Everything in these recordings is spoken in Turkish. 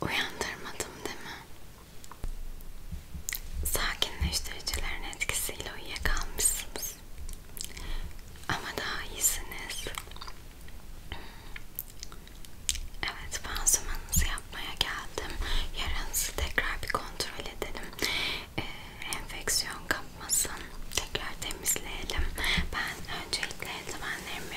Uyandırmadım değil mi? Sakinleştiricilerin etkisiyle uyuyakalmışsınız. Ama daha iyisiniz. Evet, pansumanınızı yapmaya geldim. Yaranızı tekrar bir kontrol edelim. Ee, enfeksiyon kapmasın. Tekrar temizleyelim. Ben öncelikle eldivenlerimi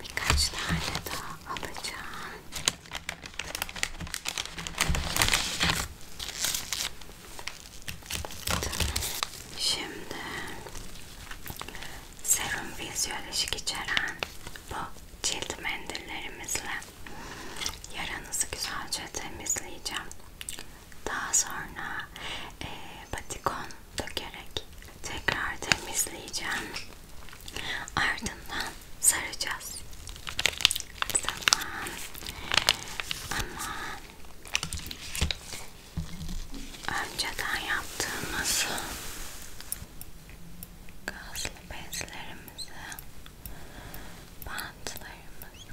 Birkaç tane daha alacağım. Şimdi serum fizyolojik içeren bu cilt mendillerimizle yaranızı güzelce temizleyeceğim. Daha sonra e, batikon dökerek tekrar temizleyeceğim. Ardından saracağız. Tamam. Ama önceden yaptığımız gazlı bezlerimizi, bantlarımızı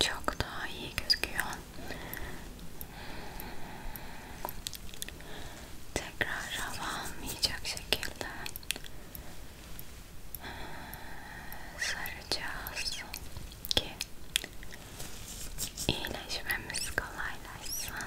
Çok daha iyi gözüküyor. Tekrar hava almayacak şekilde saracağız ki iyileşmemiz kolaylaşsın.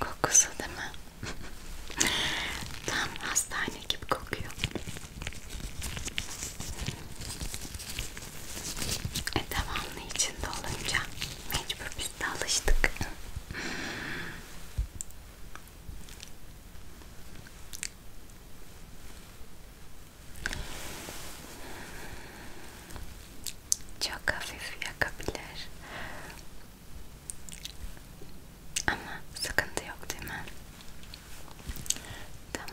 Kokusu değil mi? Tam hastane gibi kokuyor. E devamlı içinde olunca mecbur biz de alıştık çok hafif yakabilir ama sıkıntı yok değil mi? Tamam.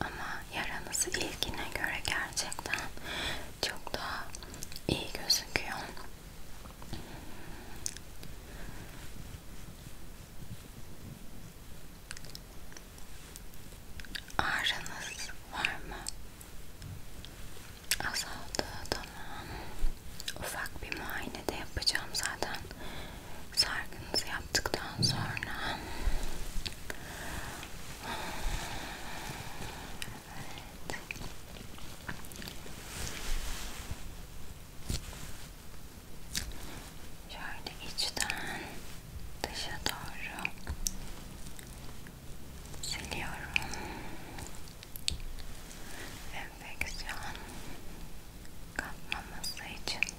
Ama yaranızı ilgine göre gerçekten çok daha iyi gözüküyor. Ağrınız var mı? Azaldı tamam. Ufak bir muayene de yapacağım zaten. Sargınızı yaptıktan sonra Evet. Şöyle içten dışa doğru siliyorum. Enfeksiyon kapmaması için. Evet.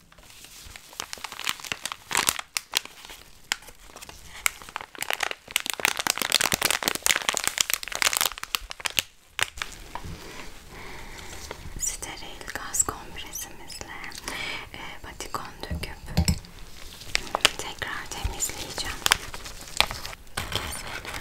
Steril gaz kompresimizle e, batikon döküp tekrar temizleyeceğim. Keselim. Keselim.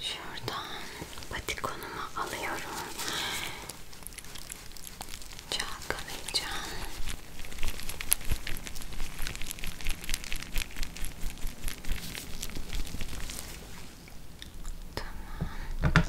Şuradan patikonumu alıyorum. Çalkalayacağım. Tamam.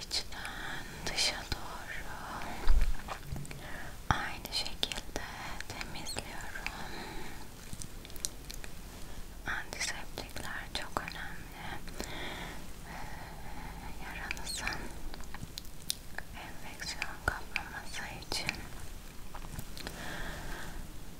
İçten dışa doğru aynı şekilde temizliyorum. Antiseptikler çok önemli. Ee, yaranızın enfeksiyon kaplaması için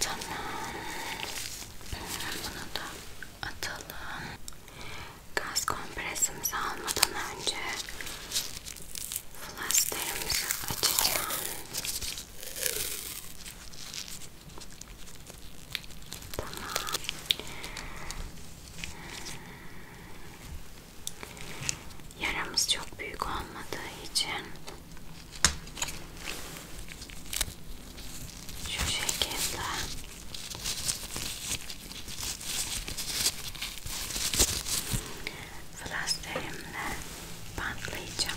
Tamam. Bunu da atalım. Gaz kompresimizi almadan önce flasterimizi açacağım. Tamam. Yaramız çok büyük olmadığı için şu şekilde flasterimle bantlayacağım.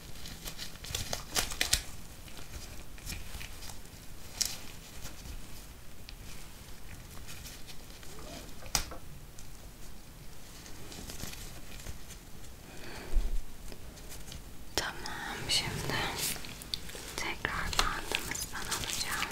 Tamam şimdi tekrar bandımızdan alacağım.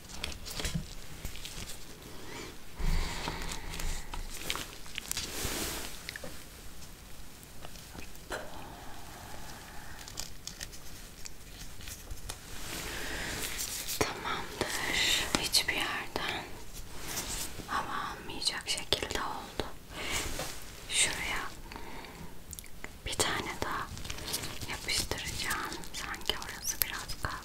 Tamamdır. Hiçbir yerden hava almayacak şekilde oldu. Şuraya bir tane daha yapıştıracağım. Sanki orası biraz kaldı.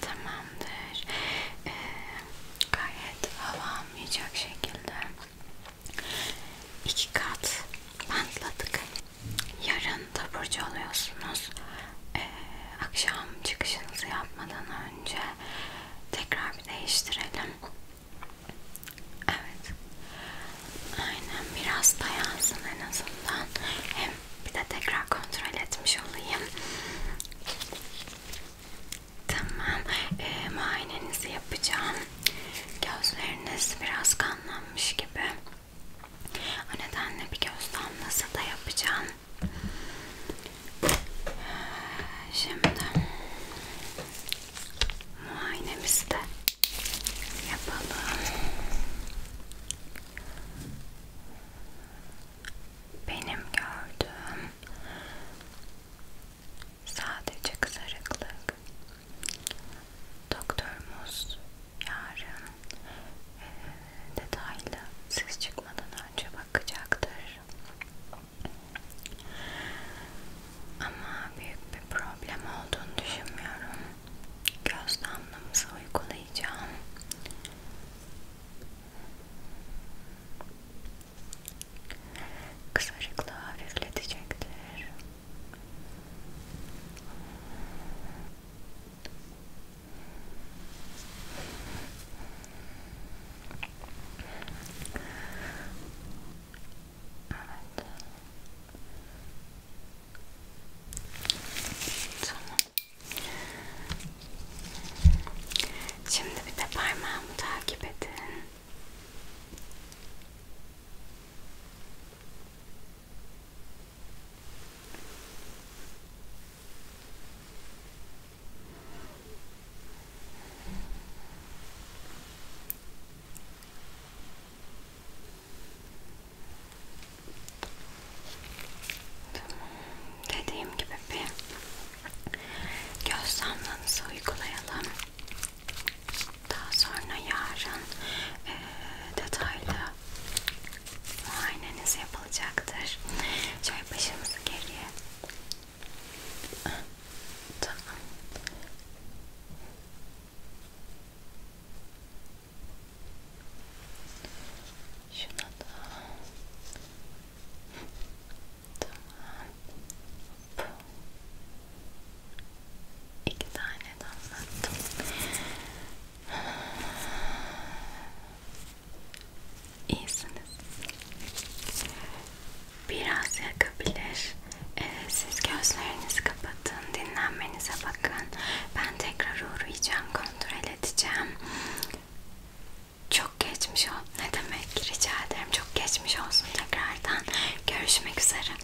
Tamamdır. Ee, gayet hava almayacak şekilde iki kat bantladık. Hani yarın taburcu oluyorsunuz. Ee, akşam çıkışınızı yapmadan önce tekrar bir değiştirelim. Evet. Aynen biraz dayansın en azından. Hem bir de tekrar kontrol etmiş olayım. Tamam. Ee, muayenenizi yapacağım. Gözleriniz biraz kanlanmış gibi. O nedenle bir göz damlası da yapacağım. Şimdi muayenemizi de yapalım. Benim gördüğüm sadece kızarıklık. Doktorumuz yarın zaten e, detaylı siz çıkmadan önce bakacaktır. Ama büyük bir problem olduğunu düşünmüyorum. Göz damlamızı uygulayacağım. Kısacıklığı hafifletecektir. Evet. Tamam. Şimdi bir de parmağımı takip edin. Dediğim gibi bir göz damlanızı uygulayalım. Daha sonra yarın e, detaylı muayeneniz yapılacaktır. Şöyle başımızı geriye. Tamam. Şuna da. Tamam. İki tane damlattım. İyisiniz. Biraz yakabilir. Ee, siz gözlerinizi kapatın, dinlenmenize bakın. Ben tekrar uğrayacağım, kontrol edeceğim. Çok geçmiş ol. Ne demek? Rica ederim. Çok geçmiş olsun tekrardan. Görüşmek üzere.